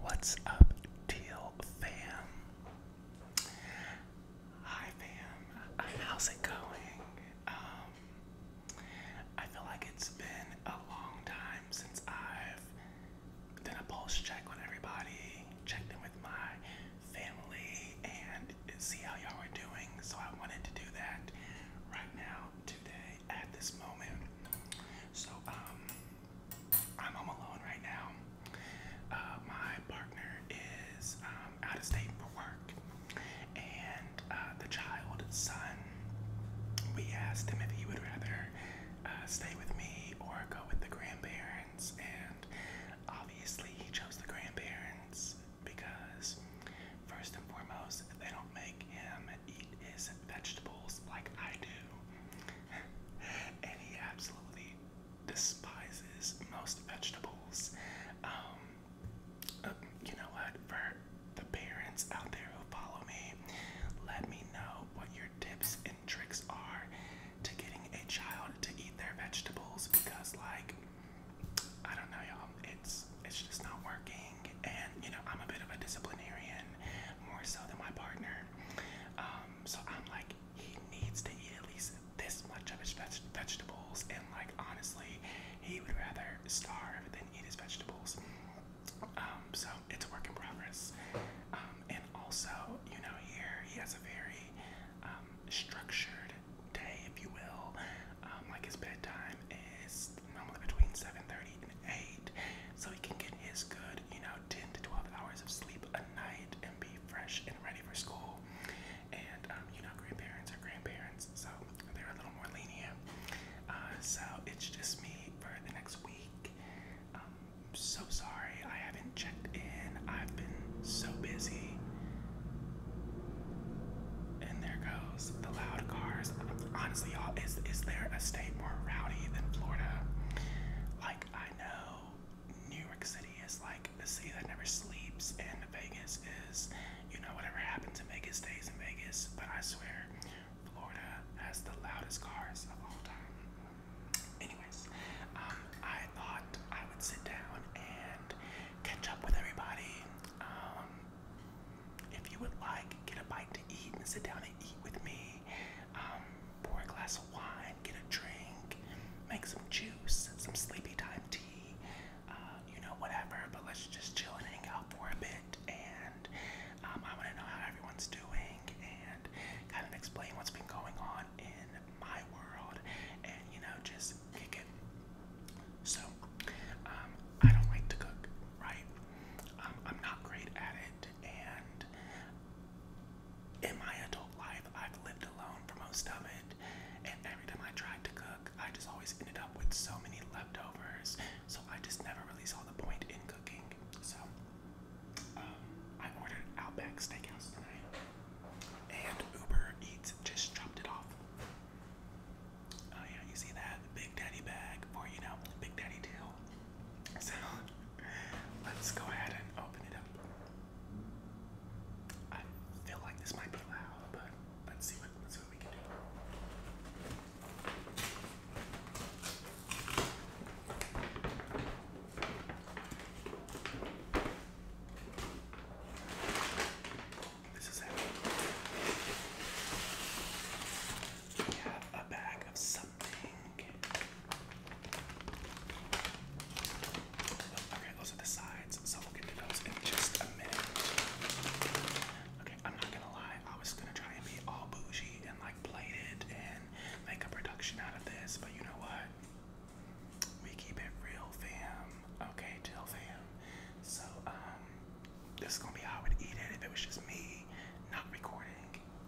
What's up, Teal fam? Hi, fam. How's it going? Um, I feel like it's been a long time since I've done a pulse check with everybody, checked in with my family and see how y'all are doing. So I wanted to do that right now, today, at this moment. So um, I'm home alone right now. Uh, my partner is um, out of state for work, and uh, the child son. We asked him if he would rather uh, stay with me or go with the grandparents, and obviously he chose the grandparents because, first and foremost, they don't make him eat his vegetables like I do. and he absolutely despises most vegetables. Um, uh, you know what? For the parents out there who follow me, let me know what your tips and tricks are to getting a child to eat their vegetables because, like, I don't know, y'all. It's it's just not working, and you know I'm a bit of a disciplinarian, more so than my partner. Um, so I'm like, he needs to eat at least this much of his vegetables, and like honestly, he would rather starve than eat his vegetables. Um, so it's a work in progress. Um, and also, you know, here he has a very um, structured day, if you will. Um, like his bedtime is normally between 7:30 and 8, so he can get his good, you know, 10 to 12 hours of sleep a night and be fresh and ready for school. And um, you know, grandparents are grandparents, so they're a little more lenient. Uh, so it's just me for the next week. Um, so sorry, I haven't checked in. I've been so busy. And there goes the loud cars. Honestly, y'all, is is there a state more rowdy than Florida? Like I know New York City is like the city that never sleeps, and Vegas is, you know, whatever happened to Vegas stays in Vegas. But I swear, Florida has the loudest cars of all time. Anyways, um, I thought I would sit down and catch up with everybody. Um, if you would like, get a bite to eat and sit down and eat with me. Um, pour a glass of wine, get a drink, make some juice, some sleepy time tea, uh, you know, whatever. But let's just chill and hang out for a bit. And um, I want to know how everyone's doing and kind of explain what's been going on in my world and you know just kick So um, I don't like to cook, right? Um, I'm not great at it, and in my adult life, I've lived alone for most of it. And every time I tried to cook, I just always ended up with so many leftovers. So I just never really saw the point in cooking. So um, I ordered Outback Steakhouse tonight. And Uber Eats just dropped it off. Oh yeah, you see that Big Daddy bag, or you know, Big Daddy deal. So let's go ahead and open it up. I feel like this might be loud, but let's see what we can do. This is it. We have a bag of something. Oh, okay, those are the sides, so we'll get to those in just a minute. Okay, I'm not gonna lie, I was gonna try and be all bougie and like plated and make a production out of this, but you know what? We keep it real, fam. Okay, chill, fam. So, um, this is gonna be how I would eat it if it was just me, not recording,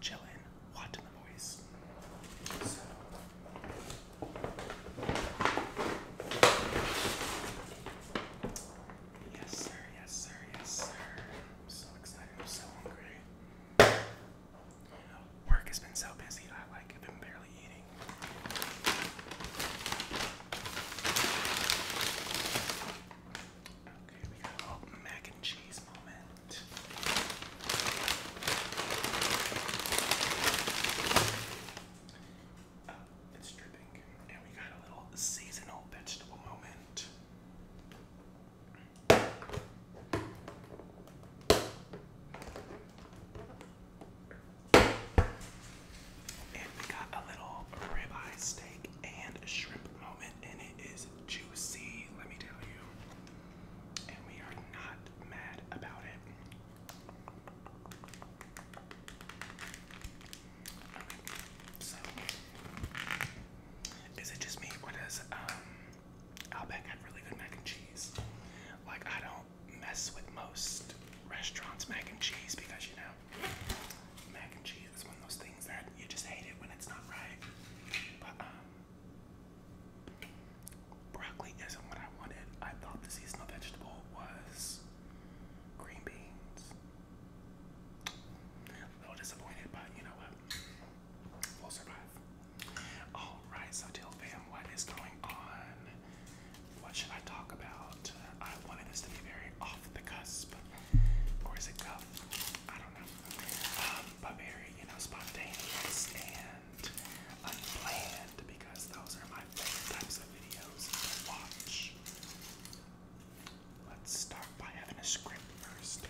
chilling, watching the voice. Yes, sir, yes, sir, yes, sir. I'm so excited, I'm so hungry work has been so busy. I like i been barely eating. Okay, we got a little mac and cheese moment. Oh, it's dripping. And we got a little seasonal vegetable moment. And we got a little ribeye steak and shrimp moment, and it is juicy, let me tell you. And we are not mad about it. so is it just me or does um Outback really good mac and cheese? Like I don't mess with most restaurants mac and cheese because you know mac and cheese is one of those things that you just hate it when it's not right. But um broccoli isn't what I wanted. I thought the seasonal vegetable was green beans. A little disappointed, but you know what? We'll survive. Alright, so Till Fam, what is going on? What should I talk about? I wanted this to be very off the cusp, or is it cuff? I don't know. Um, but very, you know, spontaneous and unplanned because those are my favorite types of videos to watch. Let's start by having a script first.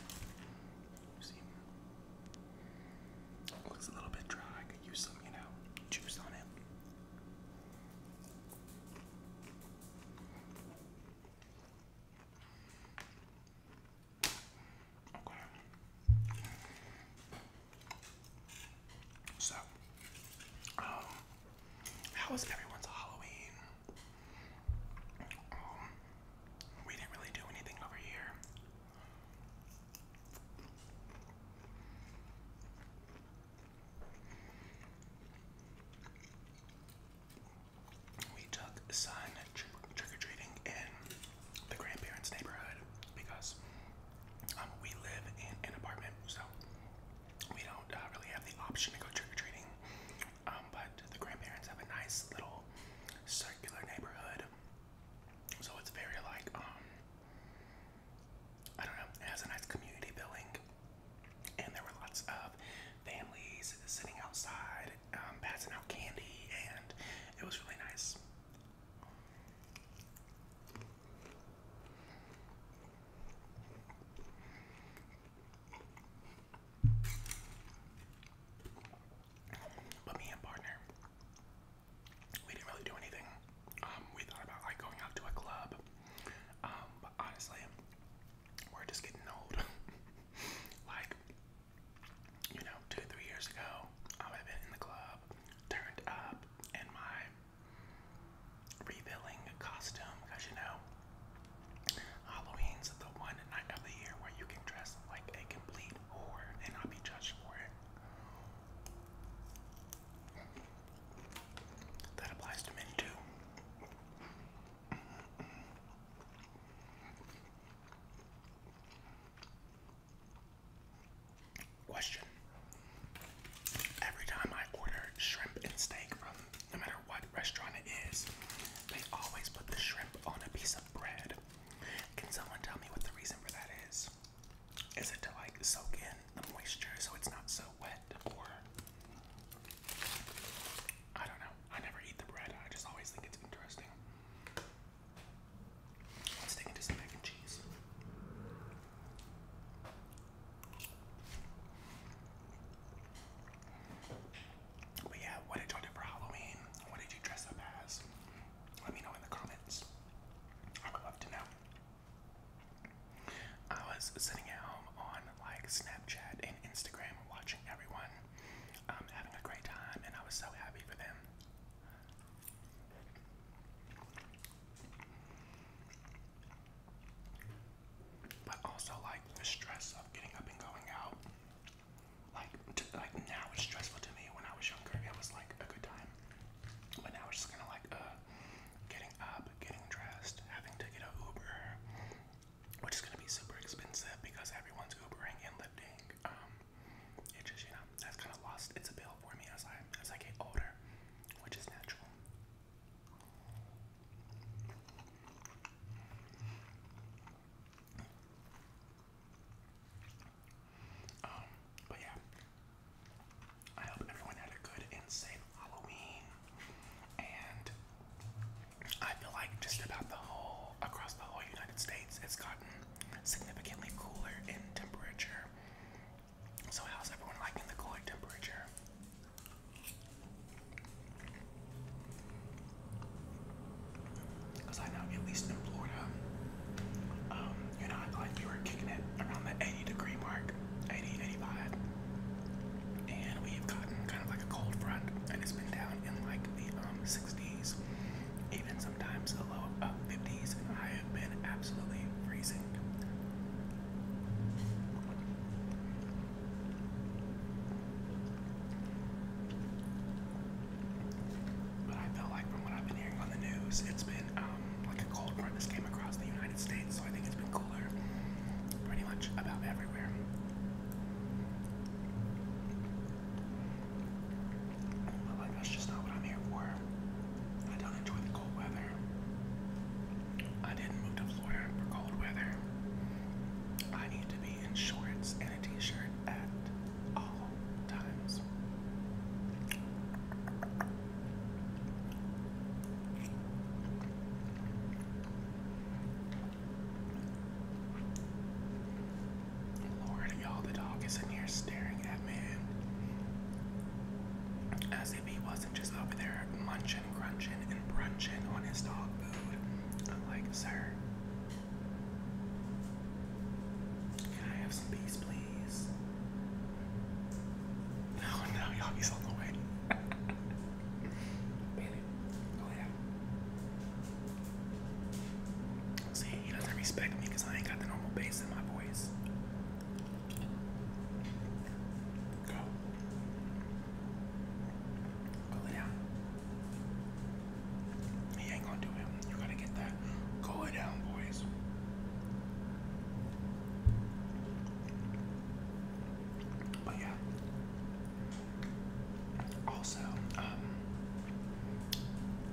Looks a little bit dry. I could use some, you know, juice on it. Okay. So, um, how was everyone's Halloween? Um, we didn't really do anything over here. We took son trick or treating in the grandparents' neighborhood because um, we live in an apartment, so we don't uh, really have the option to go trick or treating. Um, but the grandparents have a nice little circular neighborhood, so it's very like um, I don't know, it has a nice community building, and there were lots of families sitting outside, um, passing out candy, and it was really nice. But me and partner, we didn't really do anything. Um, we thought about like going out to a club, um, but honestly, we're just getting old. like, you know, two, three years ago, I have been in the club, turned up in my refilling costume, because you know, Halloween's the one night of the year where you can dress like a complete whore and not be judged for it. That applies to me too. Question. Every time I order shrimp and steak from no matter what restaurant it is, they always put the shrimp on a piece of bread. Can someone tell me what the reason for that is? is it to like soak in the moisture so it's not so wet or I don't know. I never eat the bread. I just always think it's interesting. Let's dig into some mac and cheese. But yeah, what did you do for Halloween? What did you dress up as? Let me know in the comments. I would love to know. I was sitting at home on like Snapchat and Instagram watching everyone um, having a great time, and I was so happy for them. But also, like the stress of getting up and going out, like like now it's stressful to me. When I was younger, it was like a good time. But now we're just kind of like uh, getting up, getting dressed, having to get an Uber, which is going to be super expensive because everyone's Ubering and lifting. Um, it just, you know, that's kind of lost its appeal for me as I as I get older, which is natural. Um, but yeah, I hope everyone had a good and safe Halloween. And I feel like just about the whole, across the whole United States, it's gotten significantly cooler in temperature. So, how's everyone liking the cooler temperature? Cause I know at least in Florida, um, you know, like we were kicking it around the 80 degree mark, 80, 85, and we've gotten kind of like a cold front, and it's been down in like the um 60s, even sometimes the low uh, 50s, and I have been absolutely freezing. But I feel like from what I've been hearing on the news, it's been um, like a cold front that's came across the United States, so I think it's been cooler pretty much about everywhere. But like that's just not what I'm here for. I don't enjoy the cold weather. I didn't move to Florida for cold weather. I need to be in shorts and a t-shirt at all times. y'all, the dog is in here staring at man as if he wasn't just over there munching, crunching, and brunching on his dog food. I'm like, sir, can I have some peace, please? Oh no, Yagi's on the way. Bailey, go See, he doesn't respect me I ain't got the normal bass in my voice. Go. Go lay he ain't gonna do it. You gotta get that. Go down, boys. But yeah. Also, um,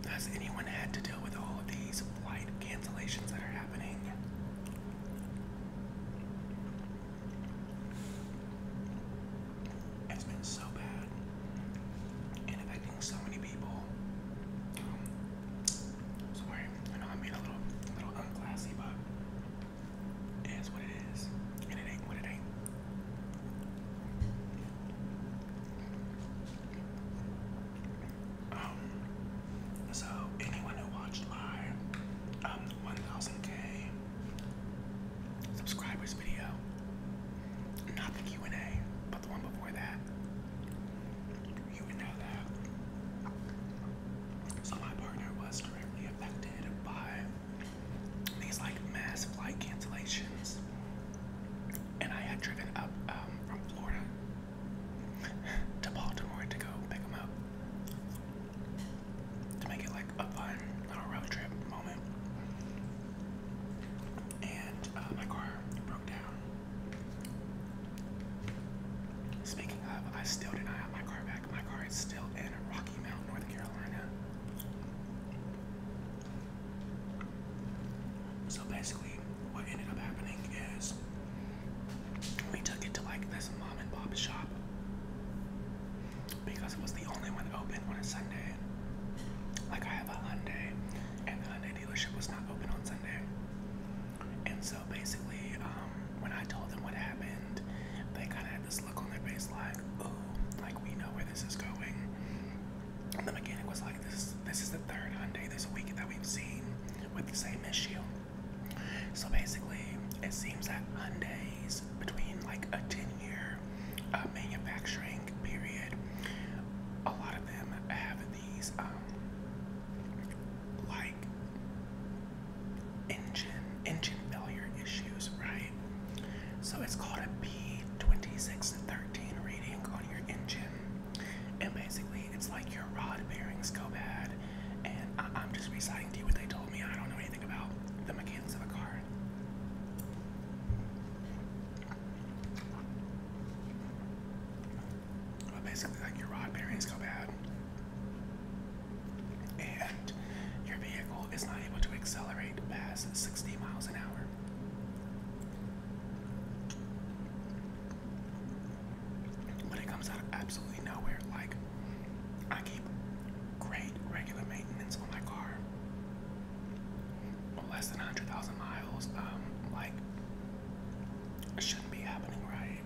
has anyone had to deal with all of these flight cancellations that are happening? It's been so bad so many people. Um, sorry, I know I'm being a little, little unclassy, but it is what it is, and it ain't what it ain't. Um, so anyone who watched my um 1000k subscribers video, not the Q and A, but the one before that. You would know that. So my partner was directly affected by these like mass flight cancellations, and I had driven up um, from Florida to Baltimore to go pick them up to make it like a fun little road trip moment and uh, my car broke down. Speaking of, I still do not have my car back. My car is still in Rocky Mount, North Carolina. So basically, what ended up happening is we took it to like this mom and pop shop because it was the only one open on a Sunday. Like I have a Hyundai, and the dealership was not open on Sunday. And so basically, um, when I told them what happened, they kind of had this look on their face like, oh, like we know where this is going. the mechanic was like, this, this is the third Hyundai this week that we've seen with the same issue. So basically, it seems that Hyundai's between like a 10 year uh, manufacturing period. A lot of them have these um, like engine engine failure issues, right? So it's called a thirteen reading on your engine, and basically it's like your rod bearings go bad. And I I'm just reciting to you what they told me. I don't know anything about the mechanics of a car. But basically, like your rod bearings go bad, and your vehicle is not able to accelerate past 60 miles an hour. But it comes out of absolutely nowhere. Like, I keep great regular maintenance on my car less than 100,000 miles, um, like, it shouldn't be happening, right?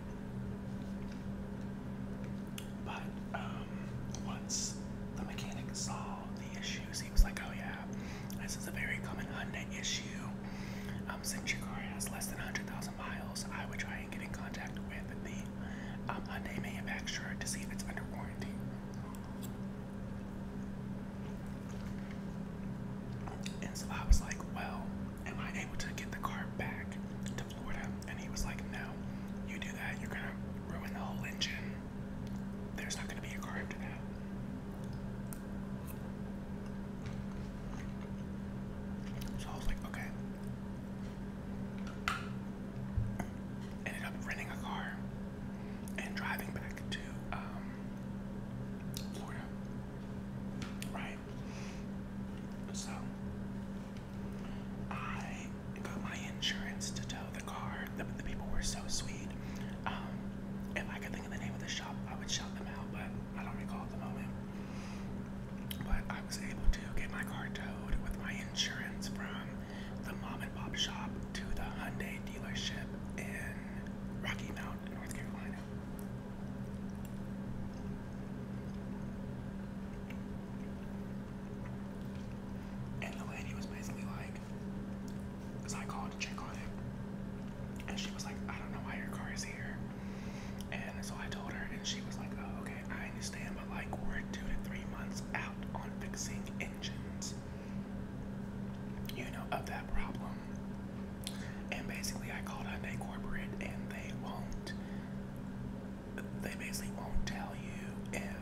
But um, once the mechanic saw the issues, he was like, oh yeah, this is a very common Hyundai issue. Um, since your car has less than 100,000 miles, I would try and get in contact with the um, Hyundai manufacturer to see if it's under warranty. And so I was like, well, am I able to get the car back to Florida? And he was like, no, you do that, you're gonna ruin the whole engine. There's not gonna be a car after So I was like, okay. Ended up renting a car and driving back to um, Florida, right? So I got my insurance to tow the car. The, the people were so sweet. Um, if I could think of the name of the shop, I would shout them out, but I don't recall at the moment. But I was able to get my car towed with my insurance from the mom and pop shop to the Hyundai dealership in Rocky Mount, North Carolina. And the lady was basically like, because I called to check on it, and she was like, I don't know why your car is here. And so I told her, and she was like, Oh, okay, I understand, but like, we're two to three months out on fixing engines you know, of that problem. And basically, I called Hyundai Corporate, and they won't. They basically won't tell you if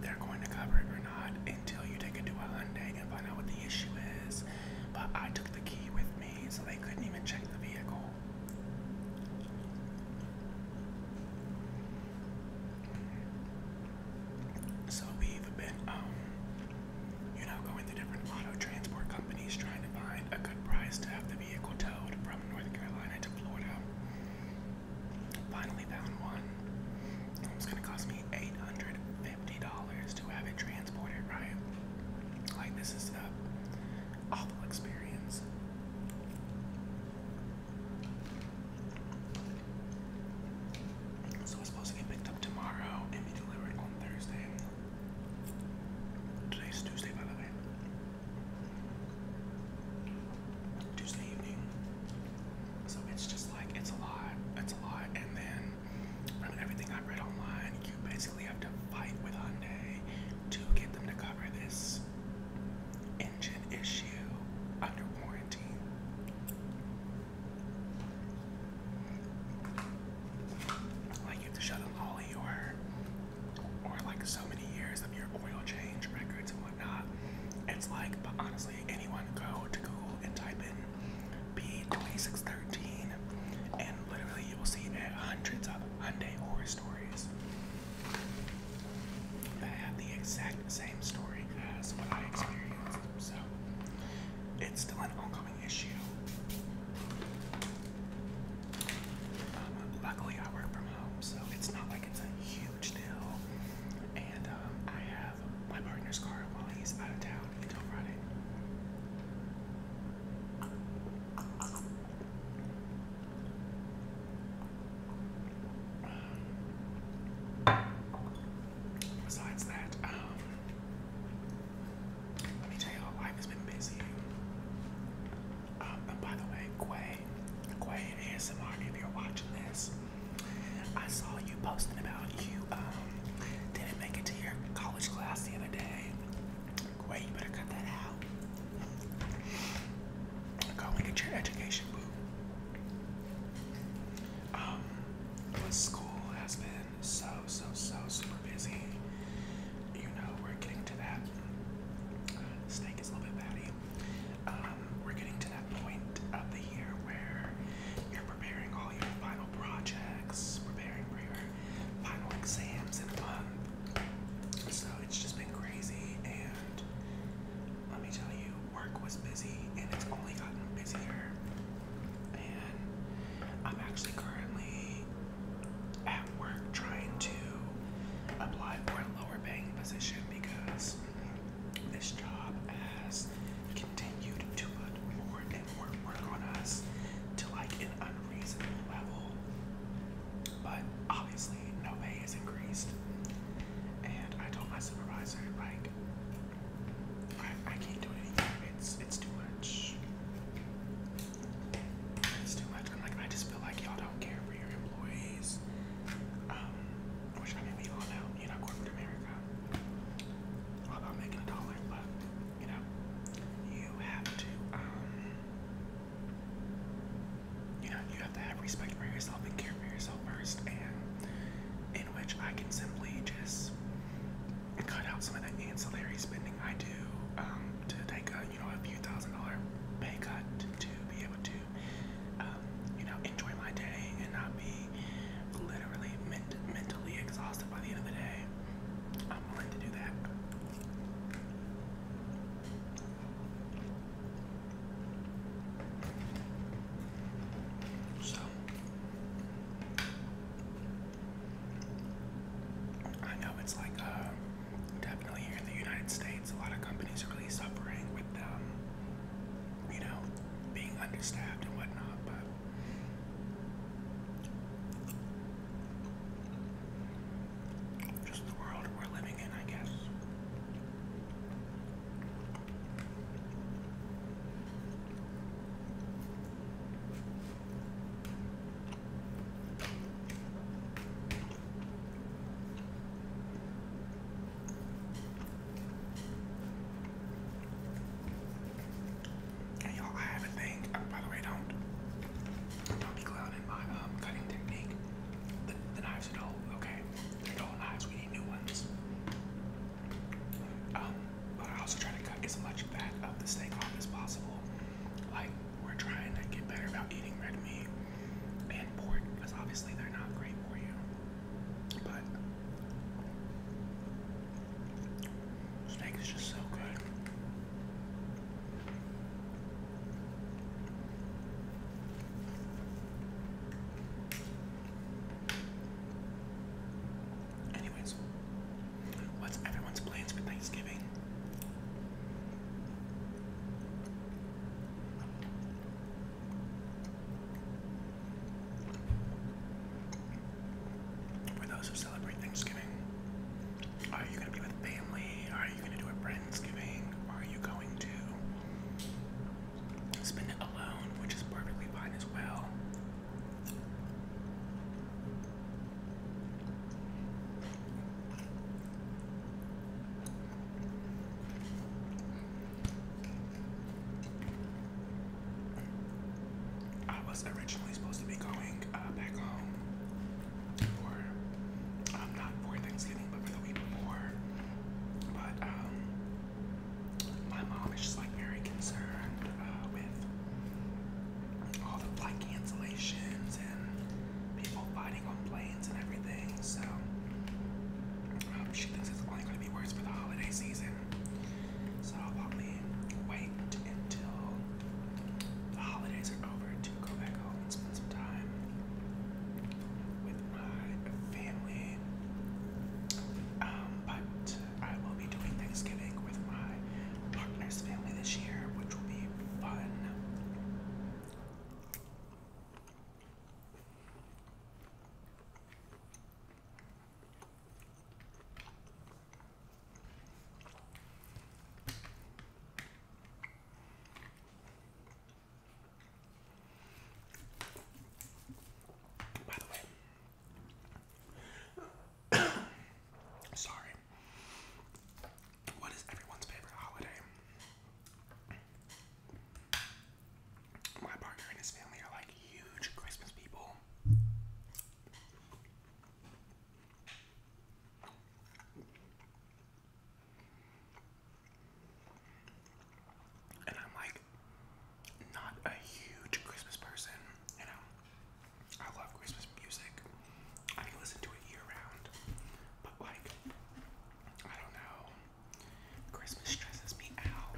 they're going to cover it or not until you take it to a Hyundai and find out what the issue is. But I took the key with me, so they couldn't even check the vehicle. So we've been, um, you know, going to different auto transport companies trying to find a good price to have the vehicle towed from North Carolina to Florida. Finally found one. It was gonna cost me eight hundred fifty dollars to have it transported, right? Like this is a awful experience. So it's supposed to get picked up tomorrow and be delivered on Thursday. Today's Tuesday, by the way. Tuesday evening. So it's just like it's a lot. It's a lot. And then from everything I read online, you basically have to fight with Hyundai to get them to cover this engine issue under warranty. Like you have to shut up all your or like so many years of your oil change records and whatnot. It's like, but honestly, anyone go to Google and type in P 2613 and literally you will see hundreds of Hyundai horror stories. I had the exact same story as what I experienced. So it's still an ongoing issue. Um, luckily, I work from home, so it's not like it's a huge deal. And um, I have my partner's car while he's out of town until Friday. Besides that, um, let me tell you life has been busy. Um, by the way, Quay, Quay ASMR, if you're watching this, I saw you posting about you um, didn't make it to your college class the other day. Quay, better cut that out. Go and get your education, boo. Um, school has been so, so, so super busy. You know, we're getting to that. Uh, snake is a little bit batty. Um, we're getting to that point of the year where you're preparing all your final projects, preparing for your final exams in a month. So it's just been crazy and let me tell you, work was busy and it's only gotten busier. And I'm actually currently at work trying to apply for a lower paying position because this job has continued to put more and more work on us to like an unreasonable level. But obviously, no pay is increased. And I told my supervisor, like, I, can't do anything. It's it's too much. It's too much. I'm like, I just feel like y'all don't care for your employees. Um, which I mean, we all know, you know, corporate America. All about making a dollar, but you know, you have to um, you know, you have to have respect for yourself and care for yourself first, and in which I can simply just cut out some of the ancillary spending I do um, to take a, you know, a few thousand dollar pay cut to, be able to, um, you know, enjoy my day and not be literally mentally exhausted by the end of the day. I'm willing to do that. So I know it's like uh, definitely here in the United States, a lot of companies are really suffering with um, you know being understaffed and whatnot, but. Just the world we're living in, I guess. And y'all, I have a thing. Oh, by the way, don't don't be clouding my um, cutting technique. The, knives are dull, okay? They're We need new ones. Um, but I also try to cut as much fat of the steak off as possible. Like we're trying to get better about eating red meat and pork because obviously they're not great for you. But Steak is just so good. Anyways, what's everyone's plans for Thanksgiving? For those who celebrate Thanksgiving, are you going to be with family? Are you going to do it by Thanksgiving? Are you going to spend it alone, which is perfectly fine as well? I was originally supposed to be going uh, back home for, um, not for Thanksgiving, but for the week before. But um, my mom is just like very concerned uh, with all the flight cancellations and people biting on planes and everything. So um, she thinks it's only going to be worse for the holiday season. So I'll probably wait until the holidays are over go back home and spend some time with my family. Um, but I will be doing Thanksgiving with my partner's family this year, which will be fun. By the way, sorry. What is everyone's favorite holiday? My partner and his family are like huge Christmas people. And I'm like not a huge Christmas person, you know. I love Christmas music. I can listen to it year round. But like I don't know. Christmas stresses me out.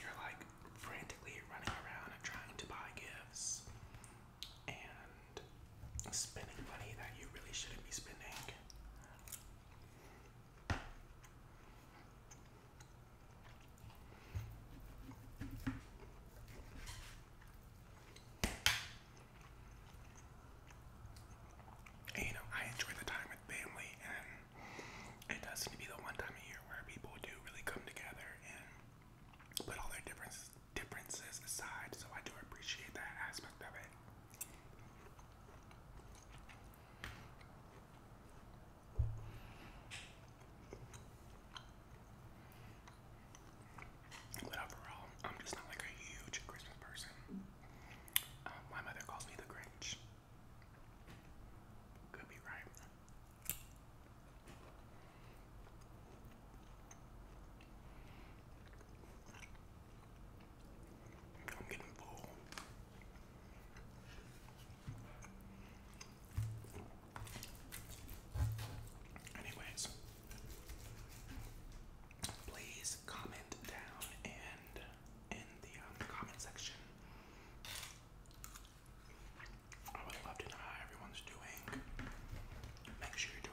You're like frantically running around and trying to buy gifts. And spending money that you really shouldn't be spending. you know, I enjoy the time with family, and it does seem to be the one time of year where people do really come together and put all their differences differences aside, so I do appreciate that aspect of it. But overall, I'm just not like a huge Christmas person. Um, my mother calls me the Grinch. Could be right. I'm getting full. Anyways, please comment down and in the um, comment section. I would love to know how everyone's doing. Make sure you're doing